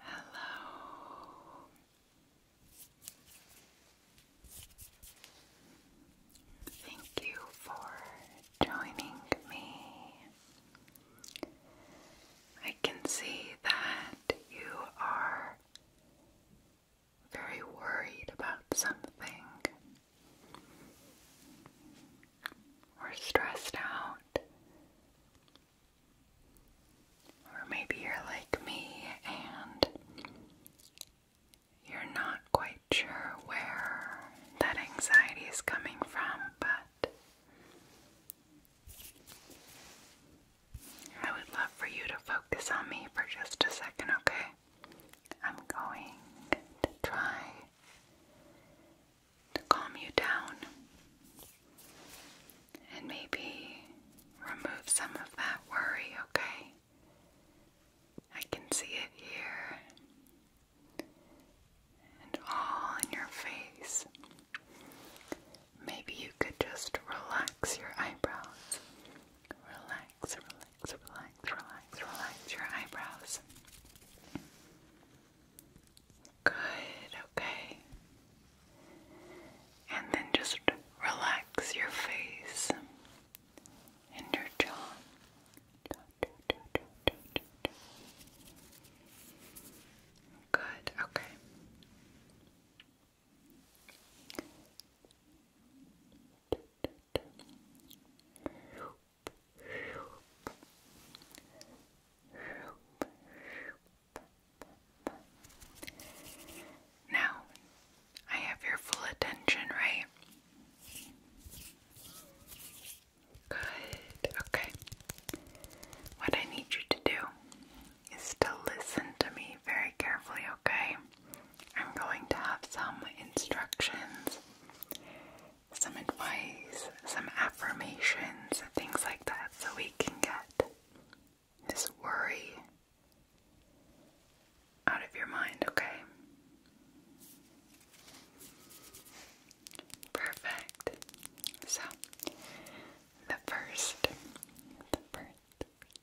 Hello. Thank you for joining me. I can see that you are very worried about something. We're stressed out. Or maybe you're like me and you're not quite sure where that anxiety is coming from, but I would love for you to focus on me for just a second, okay? I'm going to try to calm you down and maybe remove some of that worry, okay? I can see it here and all in your face. Maybe you could just relax your eyebrows. Relax, relax, relax, relax, relax your eyebrows. Good, okay. And then just relax your face and your jaw. Good, okay. Now, I have your full attention, right? Good, okay. What I need you to do is to listen to me very carefully, okay? I'm going to have some instructions some advice, some affirmations, things like that, so we can get this worry out of your mind, okay? Perfect. So, the first, the first,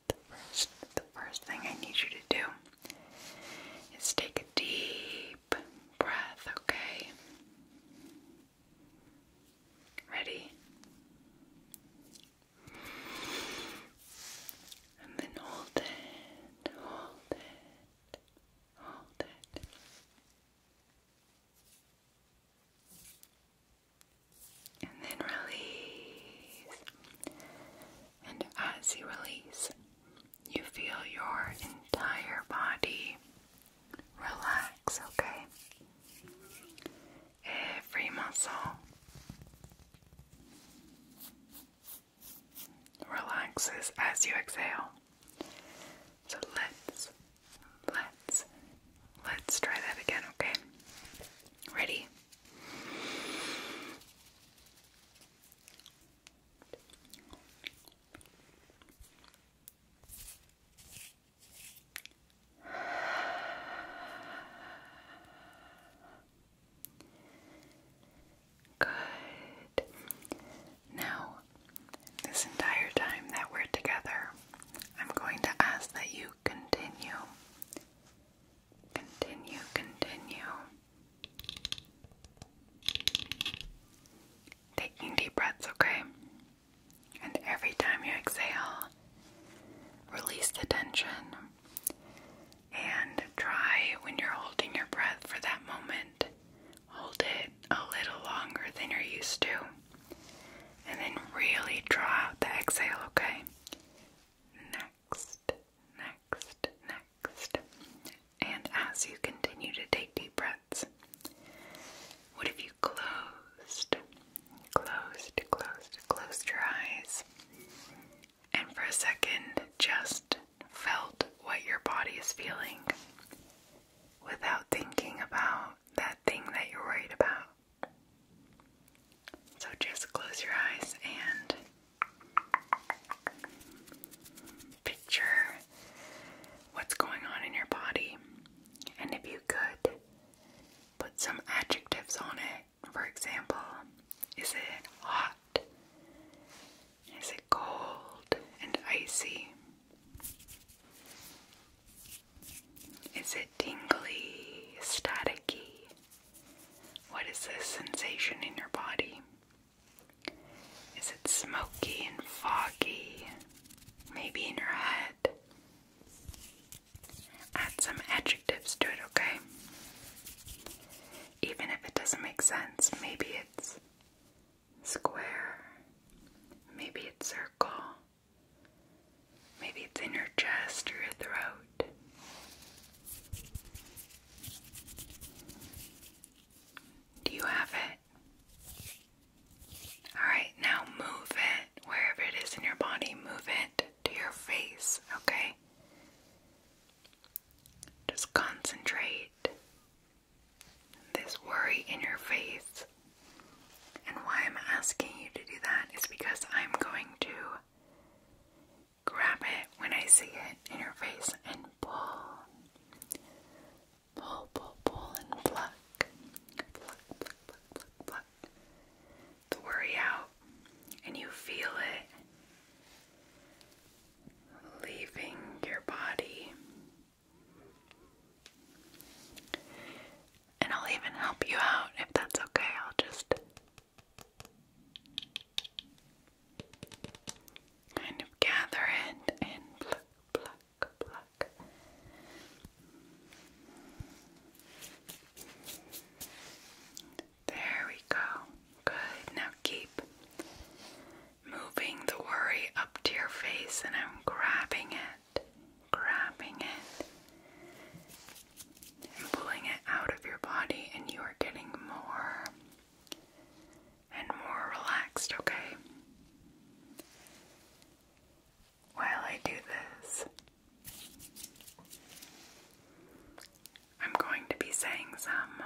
the first, the first thing I need you to do is take a deep breath, okay? Ready? And then hold it, hold it, hold it. And then release. And as you release, you feel your entire body relax, okay? Every muscle relaxes as you exhale. So let's, let's, let's try that again, okay? Ready? Good. Now, this entire time that we're together, I'm going to ask that you continue, continue, continue Taking deep breaths, okay? And every time you exhale, release the tension. And try when you're holding your breath for that moment, hold it a little longer than you're used to. And then really draw out the exhale, okay? Next, next, next. And as you continue to take deep breaths, what if you closed, closed, closed, closed your eyes and for a second just felt what your body is feeling without thinking about that thing that you're worried about? So just close your eyes and picture what's going on in your body. And if you could put some adjectives on it, for example, is it hot? Is it cold and icy? Is it tingly, staticky? What is the sensation in your body? Is it smoky and foggy? Maybe in your head? Add some adjectives to it, okay? Even if it doesn't make sense, maybe it's square, maybe it's circle, maybe it's in your chest or your throat. Do you have it? Alright, now move it wherever it is in your body, move it to your face, okay? Just concentrate this worry in your face. And why I'm asking you to do that is because I'm going to grab it when I see it in your face and pull. Pull, pull, pull, and pluck. Pluck, pluck, pluck, pluck, pluck. worry out, and you feel it leaving your body. And I'll even help you out if that's okay. I'll just kind of gather it and pluck, pluck, pluck. There we go. Good. Now keep moving the worry up to your face, and I'm grabbing it, grabbing it, and pulling it out of your body, and you are getting more and more relaxed, okay? While I do this, I'm going to be saying some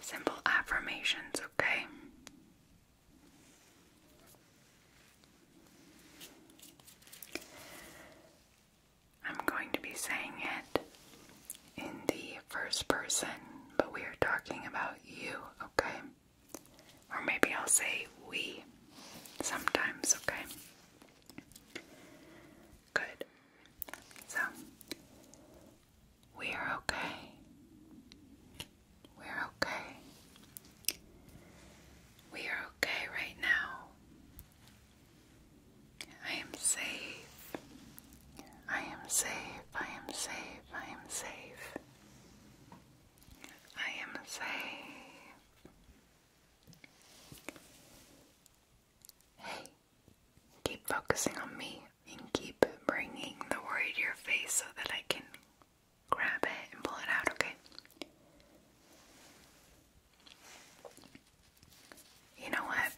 simple affirmations, okay? I'm going to be saying it in the first person, but we are talking about you, okay? Or maybe I'll say we sometimes, okay? Good. So, we're okay. We're okay. We are okay right now. I am safe. I am safe, I am safe, I am safe. I am safe. Hey, keep focusing on me and keep bringing the worry to your face so that I can grab it and pull it out, okay? You know what?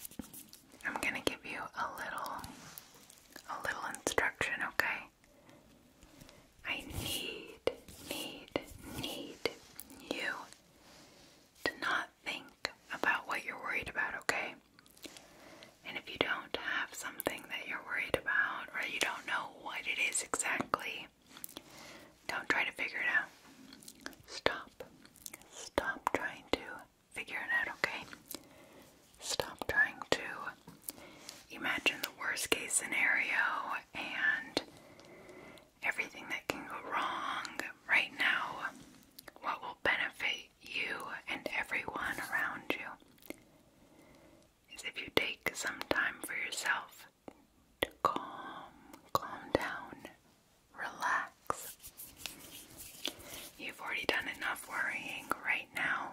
I'm gonna give you a little, a little instruction, okay? I need, need, need you to not think about what you're worried about, okay? And if you don't have something that you're worried about or you don't know what it is exactly, don't try to figure it out. Stop. Stop trying to figure it out, okay? Stop trying to imagine the worst case scenario and everything that can go wrong right now, what will benefit you and everyone around you is if you take some time for yourself to calm, calm down, relax. You've already done enough worrying right now.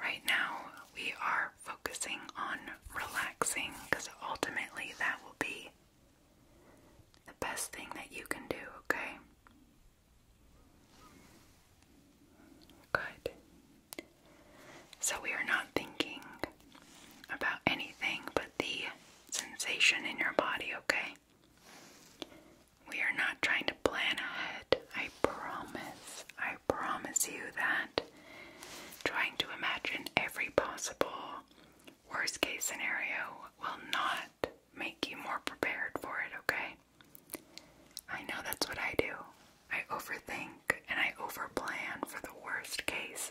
Right now, we are focusing on relaxing because ultimately that will be the best thing that you can do, okay? Good. So we are not thinking about anything but the sensation in your body, okay? We are not trying to plan ahead. I promise. I promise you that. Trying to imagine every possible worst case scenario will not make you more prepared for it, okay? I know that's what I do. I overthink and I overplan for the worst case.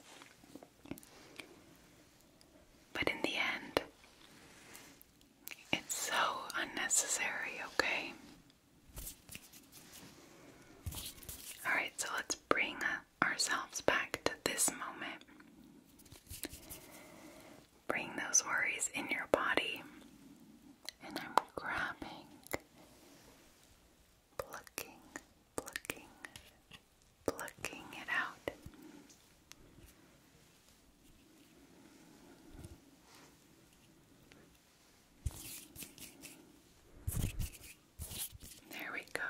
But in the end, it's so unnecessary, okay? Alright, so let's bring ourselves back to this moment. Bring those worries in your body, and I'm grabbing, plucking, plucking, plucking it out. There we go.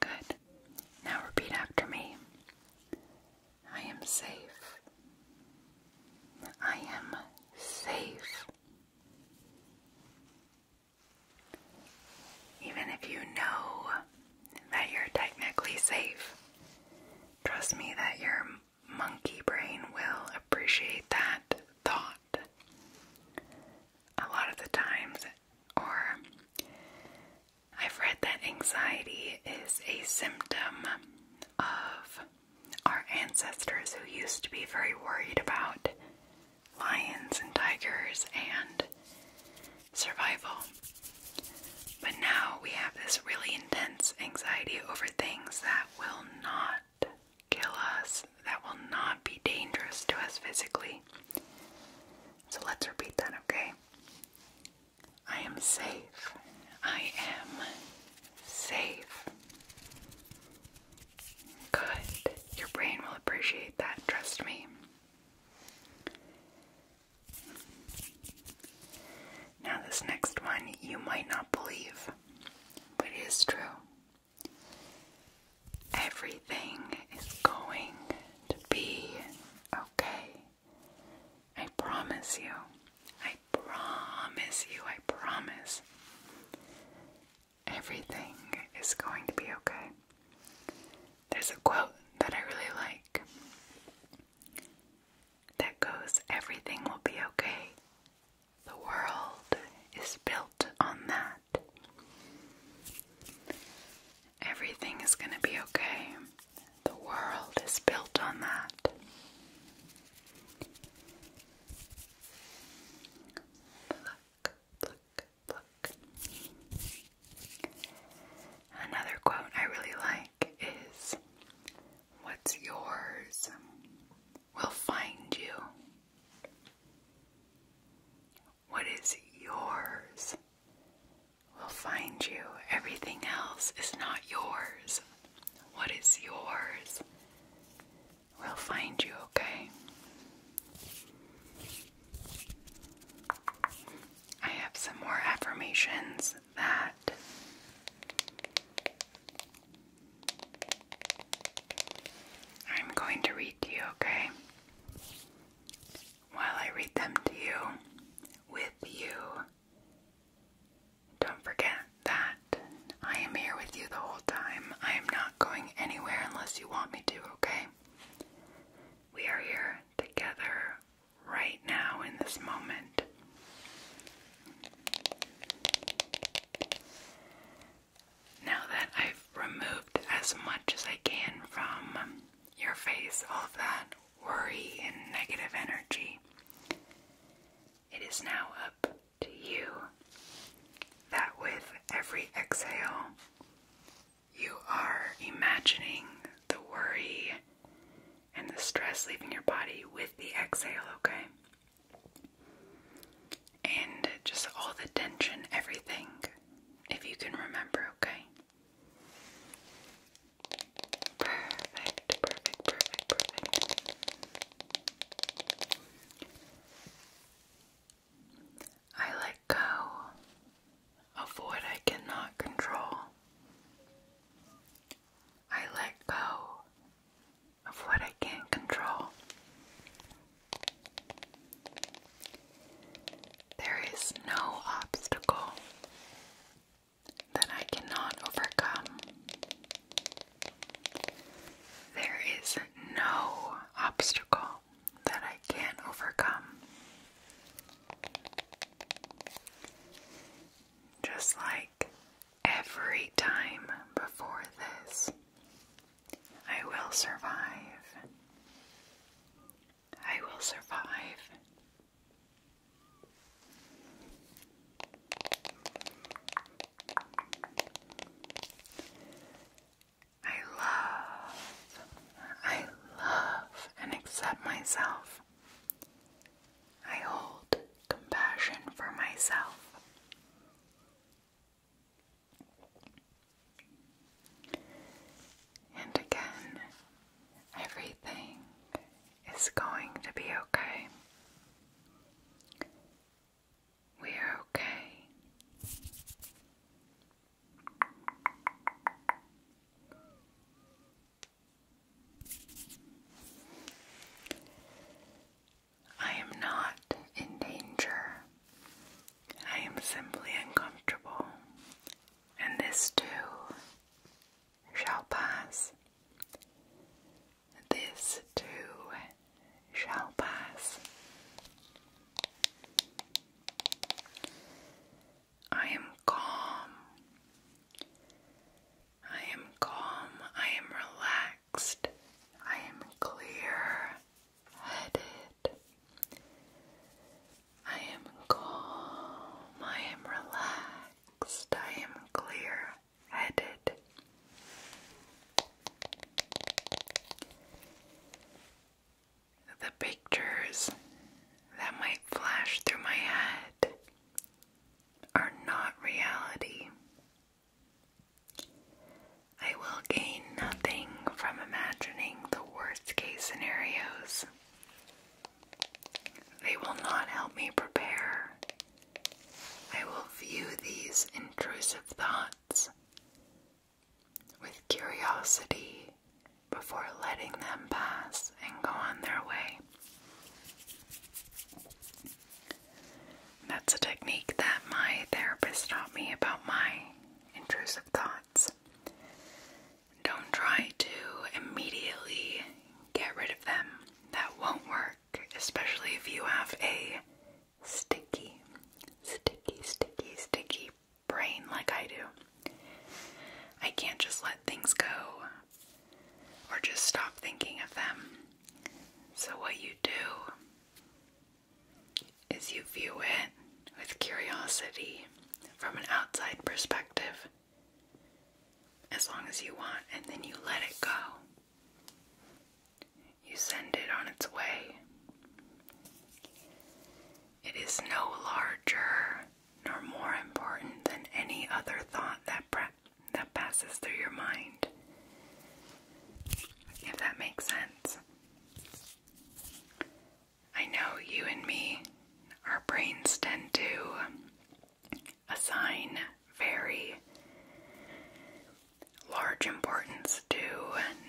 Good. Now repeat after me. I am safe. I am safe. Even if you know that you're technically safe, trust me that your monkey brain will appreciate that thought. A lot of the times, or I've read that anxiety is a symptom of our ancestors, who used to be very worried about lions and tigers and survival, but now we have this really intense anxiety over things that will not kill us, that will not be dangerous to us physically. So let's repeat that, okay? I am safe. I am safe. Good. Your brain will appreciate that, trust me. Now, this next one you might not believe, but it is true. Everything is going to be okay. I promise you. I promise you. I promise everything is going to be okay. There's a quote that I really like that goes, Everything will be okay. The world is built on that. Everything is going to be okay. The world is built on that. Another quote I really like is What's yours will find you. What is yours will find you. Everything else is not yours. What is yours We'll find you, okay? I have some more affirmations that I'm going to read to you, okay? While I read them to you, with you, don't forget that I am here with you the whole time. I am not going anywhere unless you want me to, okay? We are here together right now in this moment. Now that I've removed as much as I can from your face, all that worry and negative energy, it is now up to you that with every exhale, you are imagining the worry and the stress leaving your body with the exhale, okay? And just all the tension, everything, if you can remember, okay? Perfect, perfect, perfect, perfect. I let go of what I cannot control. I let go of what I can't control. There is no obstacle that I cannot overcome. There is no obstacle that I can't overcome. Just like every time before this, I will survive. I will survive. I love, I love and accept myself. I hold compassion for myself. And again, everything is going to be okay. We are okay. I am not in danger. I am simply uncomfortable, and this too shall pass. This too shall pass. I am calm. I am calm. I am relaxed. I am clear headed. I am calm. I am relaxed. I am clear headed. The pictures that might flash through my head are not reality. I will gain nothing from imagining the worst case scenarios. They will not help me prepare. I will view these intrusive thoughts with curiosity before letting them pass and go on their way. That's a technique that my therapist taught me about my intrusive thoughts. Don't try to immediately get rid of them. That won't work, especially if you have a sticky, sticky, sticky, sticky brain like I do. I can't just let things go or just stop thinking of them. So, what you do is you view it with curiosity from an outside perspective as long as you want, and then you let it go you send it on its way. It is no larger nor more important than any other thought that, that passes through your mind. If that makes sense. I know you and me, our brains tend to assign very large importance to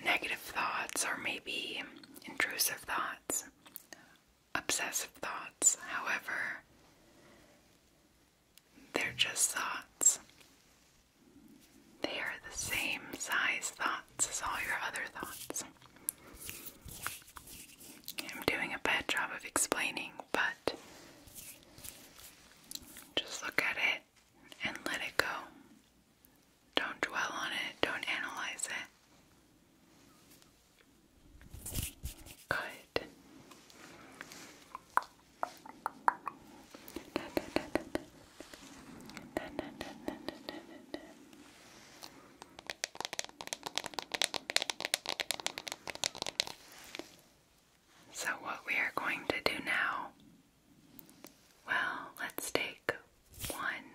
negative thoughts or maybe intrusive thoughts, obsessive thoughts. However, they're just thoughts. They are the same size thoughts as all your other thoughts. I'm doing a bad job of explaining, but just look at it and let it go. Don't dwell on it, don't analyze it. Good. So, what we are going to do now well, let's take one,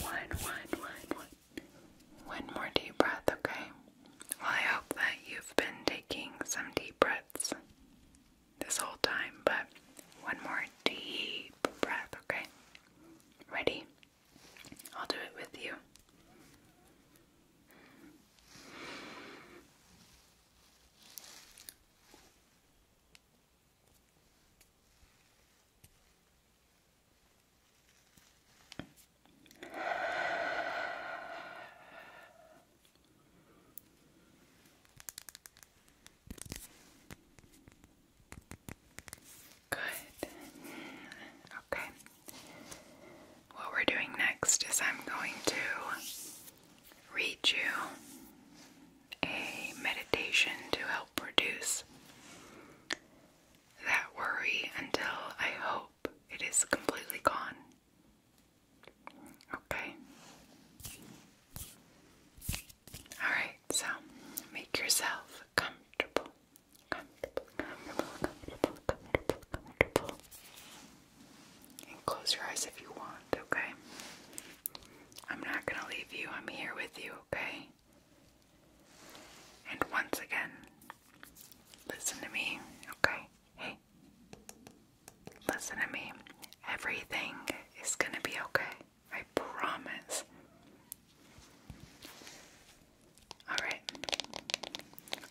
one, one, one, one, one more deep breath, okay? Well, I hope that you've been taking some deep breaths this whole time, but one more deep breath, okay? Ready? I'll do it with you. Good. Okay. What we're doing next is I'm going to read you a meditation to help produce that worry until I hope it is completely gone. Okay. Alright, so make yourself comfortable. And close your eyes if you want, okay? I'm not gonna leave you, I'm here with you, okay? And once again, listen to me, okay? Hey, listen to me. Everything is gonna be okay. I promise. Alright,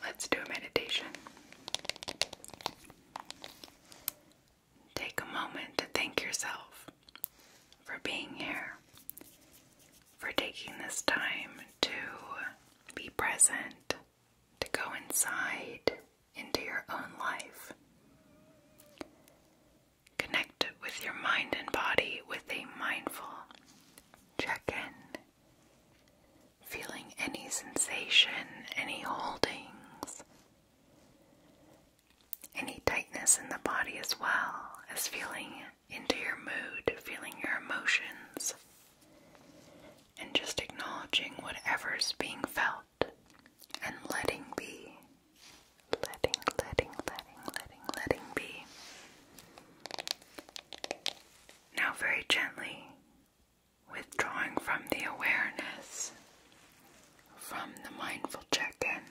let's do a meditation. Take a moment to thank yourself for being here, for taking this time to be present, to go inside into your own life. Connect with your mind and body with a mindful check in, feeling any sensation, any holdings, any tightness in the body as well as feeling into your mood, feeling your emotions, and just acknowledging whatever's being felt and letting be. Letting, letting, letting, letting, letting be. Now, very gently, withdrawing from the awareness, from the mindful check in,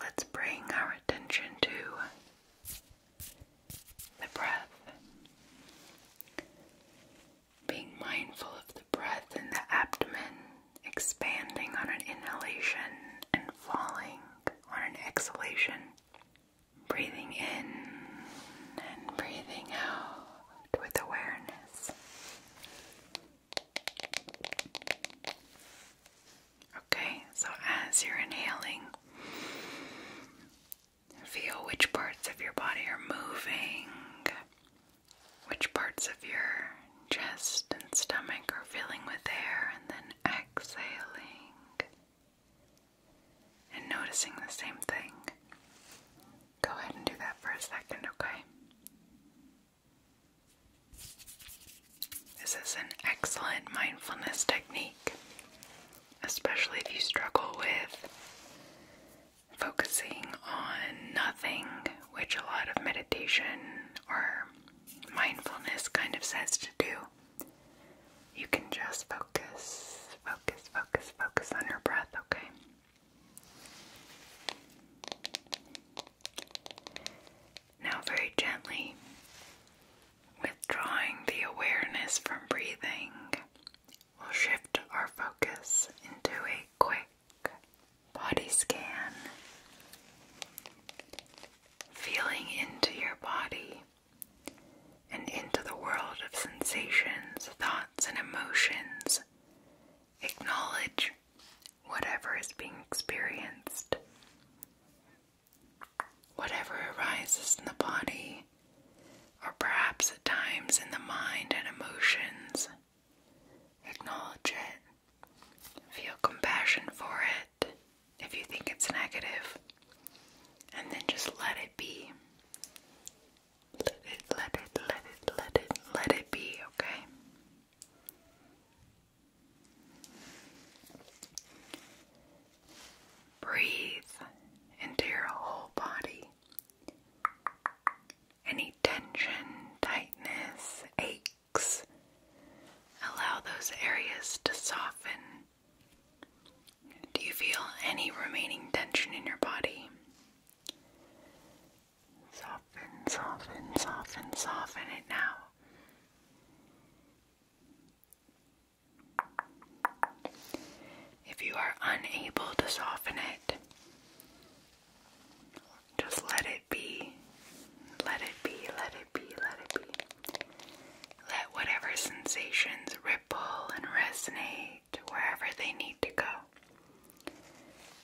let's bring our attention to the breath. Being mindful of the breath in the abdomen, expanding on an inhalation and falling on an exhalation. Breathing in and breathing out with awareness. Okay, so as you're inhaling, feel which parts of your body are moving, which parts of your chest and stomach are filling with air, and then exhaling and noticing the same thing. Go ahead and do that for a second, okay? This is an excellent mindfulness technique, especially if you struggle with focusing on nothing, which a lot of meditation or mindfulness kind of says to do. You can just focus, focus, focus, focus on your breath, okay? Now, very gently withdrawing the awareness from breathing, we'll shift our focus into a quick body scan, feeling into your body and into the world of sensations, thoughts, and emotions acknowledge whatever is being experienced. Whatever arises in the body, or perhaps at times in the mind and emotions, acknowledge it. Feel compassion for it if you think it's negative, and then just let it be. Let it, let it, let it, let it, let it be, okay? Breathe into your whole body. Any tension, tightness, aches, allow those areas to soften. Do you feel any remaining tension in your body? Soften, soften, soften, soften it now. If you are unable to soften it, just let it be. Let it be, let it be, let it be. Let whatever sensations ripple and resonate to wherever they need to go.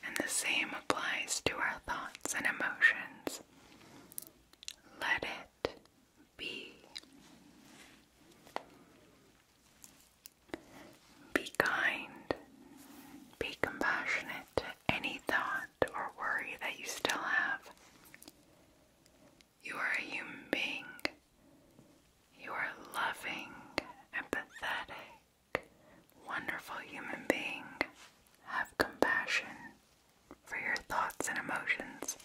And the same applies to our thoughts and emotions. Let it be. Be kind. Be compassionate to any thought or worry that you still have. You are a human being you are a loving, empathetic, wonderful human being. Have compassion for your thoughts and emotions.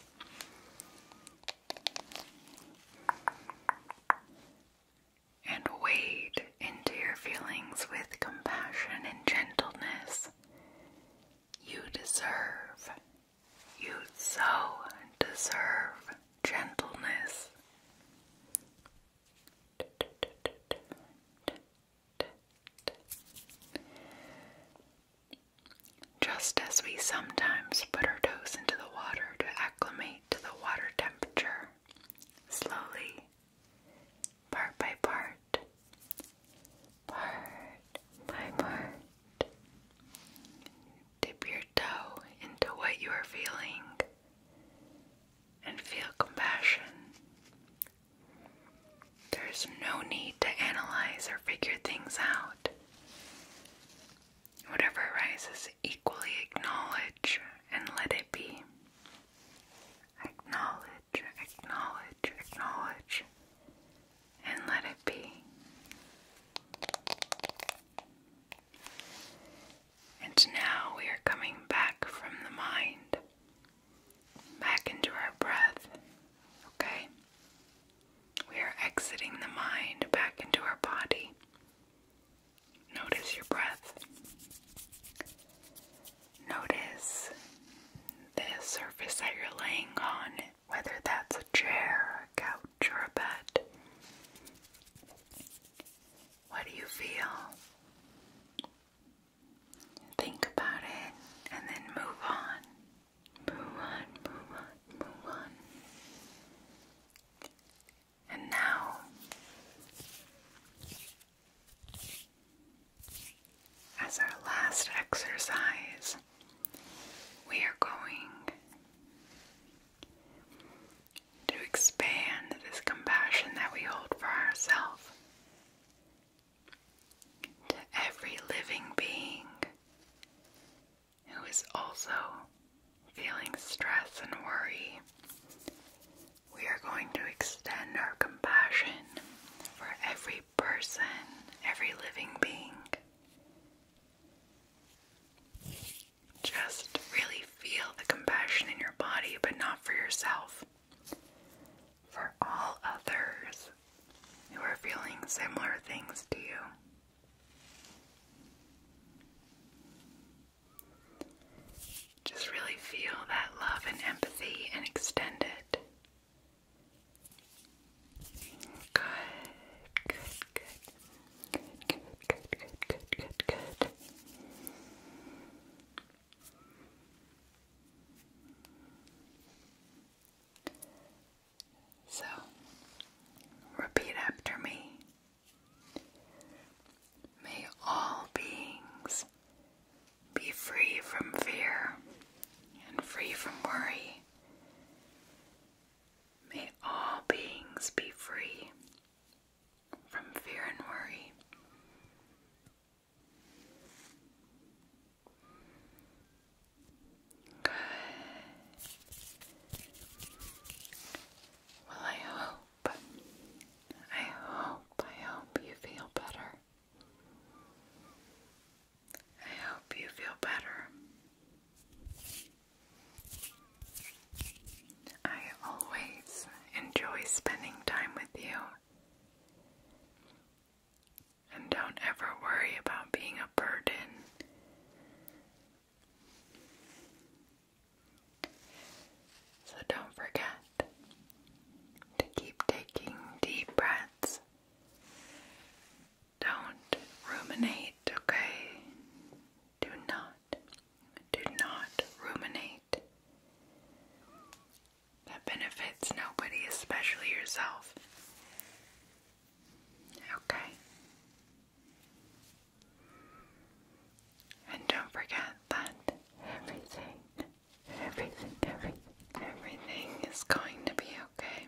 And wade into your feelings with compassion and gentleness. You deserve, you so deserve gentleness. Just as we sometimes put our toes into the water to acclimate to the water temperature, slowly, part by part, part by part, dip your your into what you are feeling and feel compassion. There's no need to analyze or figure things out. Whatever arises, equally acknowledge and let it be. Acknowledge, acknowledge, acknowledge, and let it be. And now we are coming back from the mind, back into our breath, okay? We are exiting the mind back into our body. Notice your breath. Notice the surface that you're laying on, whether that's a chair, a couch. Chirpet. What do you feel? Think about it and then move on. Move on, move on, move on. And now as our last exercise, we are going to expand this compassion that we hold for ourselves to every living being who is also feeling stress and worry. We are going to extend our compassion for every person, every living being. Just really feel the compassion in your body, but not for yourself. For all others who are feeling similar things to you. Just really feel that love and empathy and extend it. Good, good, good, Good, good, good, good, good, good, good. So, repeat after me. May all beings be free from fear and free from worry. May all beings be free from fear and worry. Good. Well, I hope, I hope, I hope you feel better. I hope you feel better. I always enjoy spending time with you. And don't ever worry about being a burden. So don't forget to keep taking deep breaths. Don't ruminate, okay? Do not do not ruminate. That benefits nobody, especially yourself. Okay. And don't forget that everything, everything, everything, everything is going to be okay.